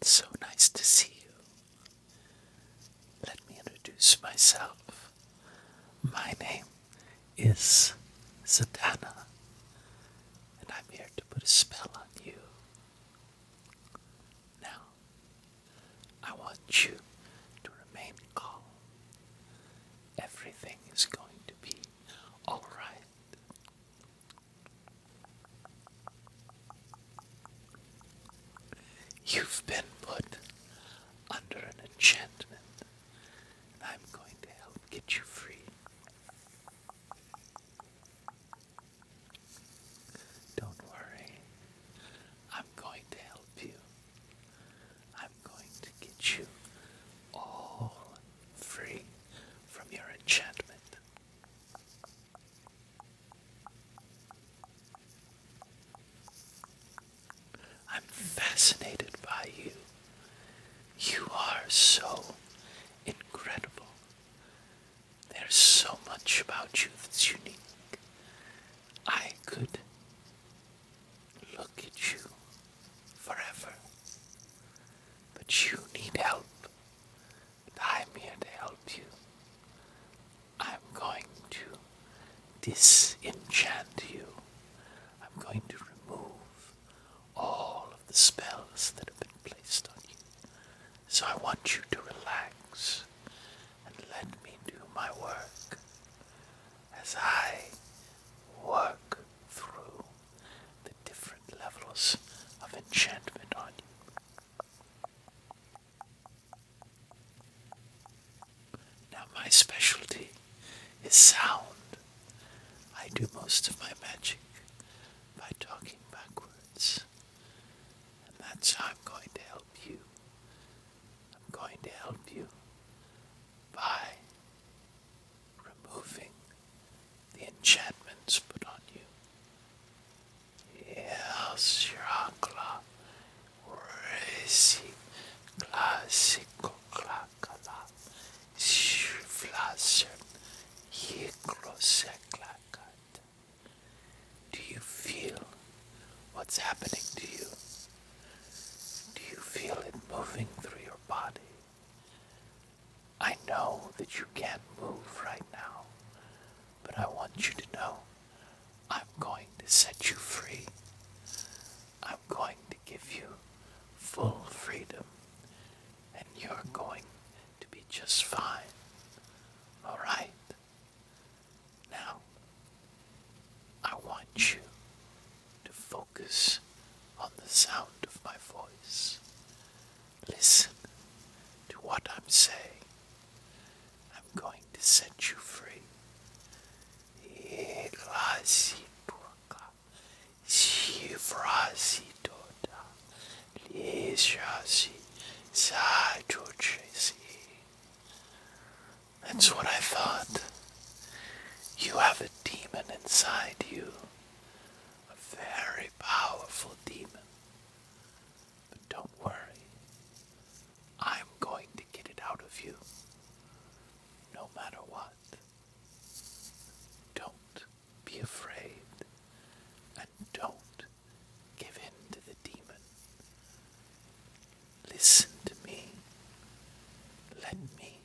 It's so nice to see you. Let me introduce myself. My name is Zadana, and I'm here to put a spell on you. Now, I want you to remain calm. Everything is going to be alright. You've been put under an enchantment, and I'm going to help get you free. Don't worry, I'm going to help you. I'm going to get you all free from your enchantment. I'm fascinated by you. You are so incredible. There's so much about you that's unique. I could look at you forever, but you need help. I'm here to help you. I'm going to disenchant you. I'm going to remove all of the spells that have been placed on you. So I want you to relax and let me do my work as I work through the different levels of enchantment on you. Now, my specialty is sound. I do most of my magic by talking backwards, and that's how I'm going to help you. I'm going to help you by removing the enchantments put on you. Elsirakla Resi Classico Clacala Flasher Yicloseklakat. Do you feel what's happening to you? Do you feel it moving through your body? I know that you can't move right now, but I want you to know I'm going to set you free. I'm going to give you full freedom, and you're going to be just fine. All right? Now, I want you to focus on the sound of my voice. Listen to what I'm saying. I'm going to set you free. That's what I thought. You have a demon inside you a very powerful demon. But don't worry, I'm going to get it out of you no matter what. Don't be afraid and don't give in to the demon. Listen to me. Let me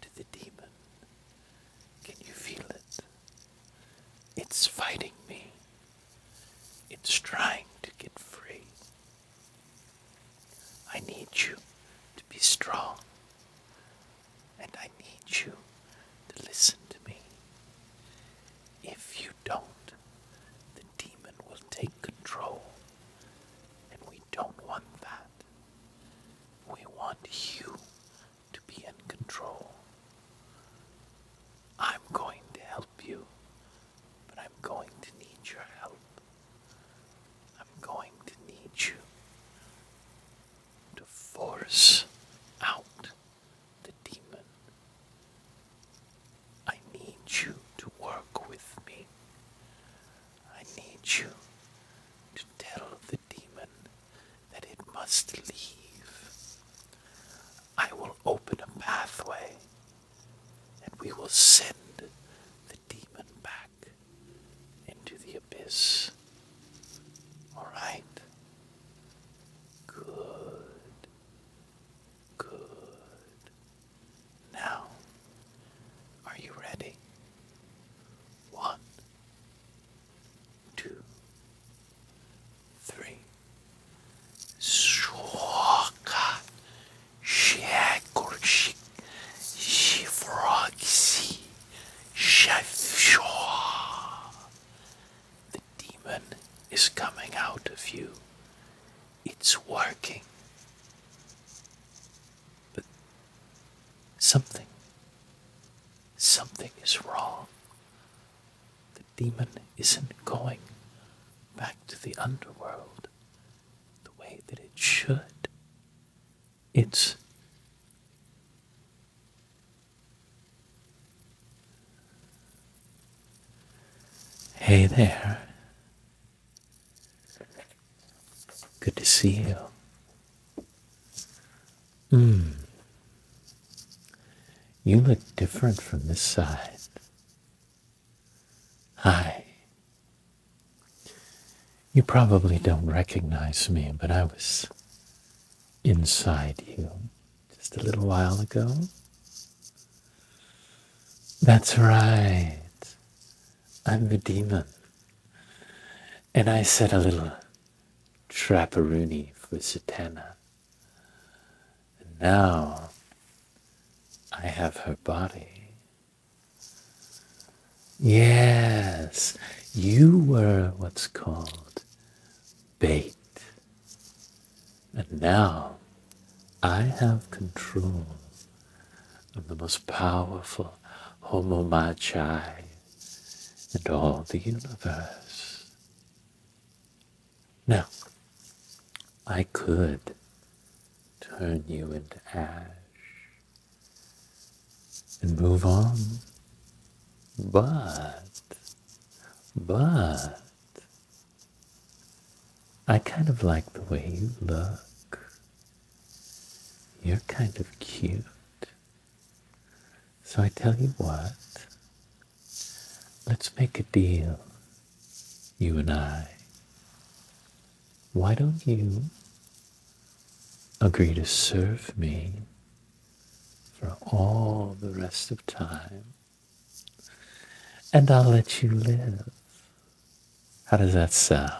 to the demon. Can you feel it? It's fighting me. It's trying to get free. I need you to be strong. And I need you to listen to me. If you don't, the demon will take control. And we don't want that. We want you to be in control. I'm going to help you, but I'm going to need your help. I'm going to need you to force out the demon. I need you to work with me. I need you to tell the demon that it must leave. I will open a pathway and we will send the demon back into the abyss. Alright? Good. Good. Now, are you ready? One, two, three. Shoka, Shakurshik, Shifrogsi, Shafshaw. The demon is coming out of you. It's working. But something, something is wrong. The demon isn't going back to the underworld the way that it should. It's Hey there. Good to see you. Mm. You look different from this side. Hi. You probably don't recognize me, but I was inside you just a little while ago. That's right. I'm the demon. And I said a little trapperoonie for Satana. And now I have her body. Yes, you were what's called bait. And now I have control of the most powerful Homo Magi, and all the universe. Now, I could turn you into ash and move on, but, but, I kind of like the way you look. You're kind of cute. So I tell you what, let's make a deal, you and I. Why don't you agree to serve me for all the rest of time? And I'll let you live. How does that sound?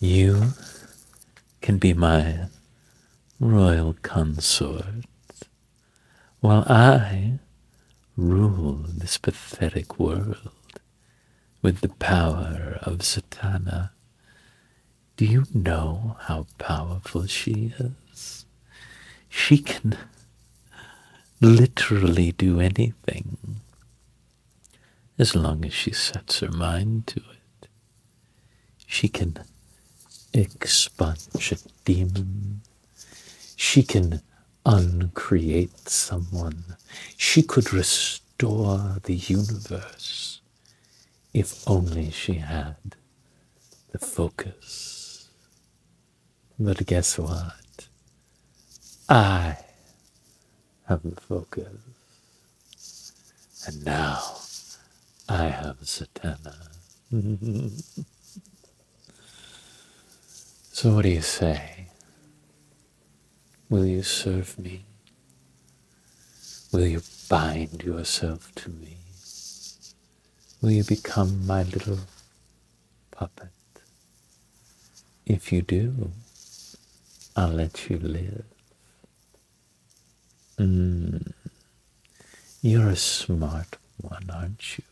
You can be my royal consort while I rule this pathetic world with the power of Satana. Do you know how powerful she is? She can literally do anything. As long as she sets her mind to it, she can expunge a demon. She can uncreate someone. She could restore the universe if only she had the focus. But guess what? I have the focus. And now I have Satana. so, what do you say? Will you serve me? Will you bind yourself to me? Will you become my little puppet. If you do, I'll let you live. Hmm. You're a smart one, aren't you?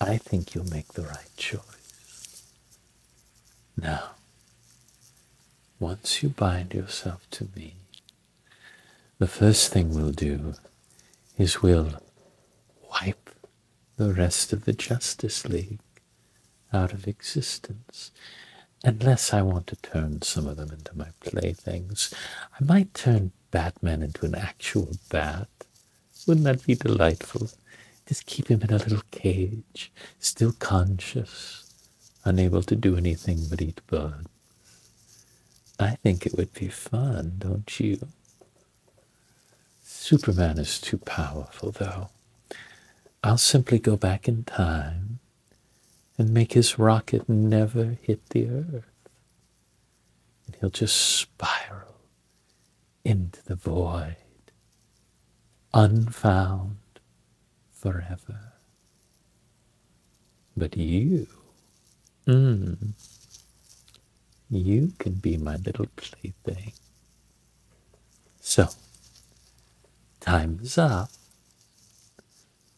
I think you'll make the right choice. Now, once you bind yourself to me, the first thing we'll do is we'll wipe the rest of the Justice League out of existence. Unless I want to turn some of them into my playthings, I might turn Batman into an actual bat. Wouldn't that be delightful? Just keep him in a little cage, still conscious, unable to do anything but eat bugs. I think it would be fun, don't you? Superman is too powerful, though. I'll simply go back in time and make his rocket never hit the earth. And he'll just spiral into the void, unfound forever. But you, hmm. You can be my little plaything. So, time is up.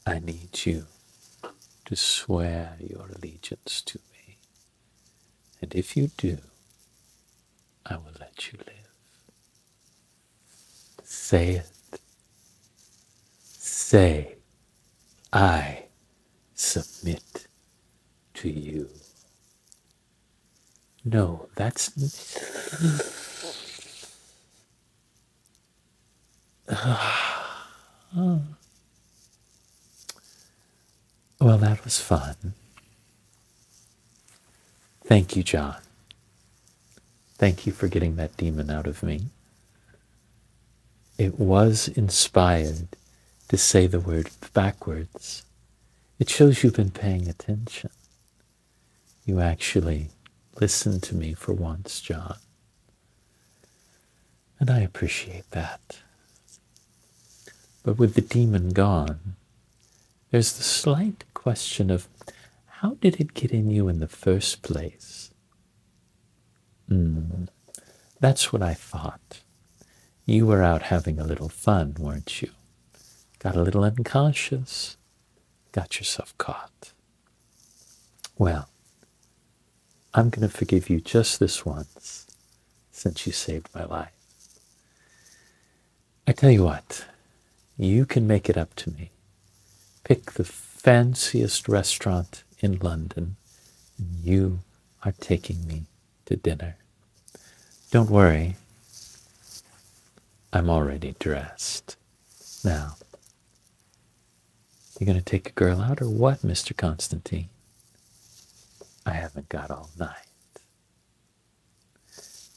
I need you to swear your allegiance to me. And if you do, I will let you live. Say it. Say, I submit to you. No, that's. Well, that was fun. Thank you, John. Thank you for getting that demon out of me. It was inspired to say the word backwards it shows you've been paying attention. You actually listened to me for once, John. And I appreciate that. But with the demon gone, there's the slight question of how did it get in you in the first place? Mm, that's what I thought. You were out having a little fun, weren't you? Got a little unconscious, got yourself caught. Well, I'm going to forgive you just this once since you saved my life. I tell you what, you can make it up to me. Pick the fanciest restaurant in London, and you are taking me to dinner. Don't worry, I'm already dressed. Now, you are gonna take a girl out or what, Mr. Constantine? I haven't got all night.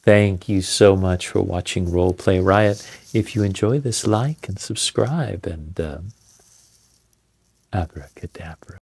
Thank you so much for watching Roleplay Riot. If you enjoy this, like and subscribe and um, abracadabra.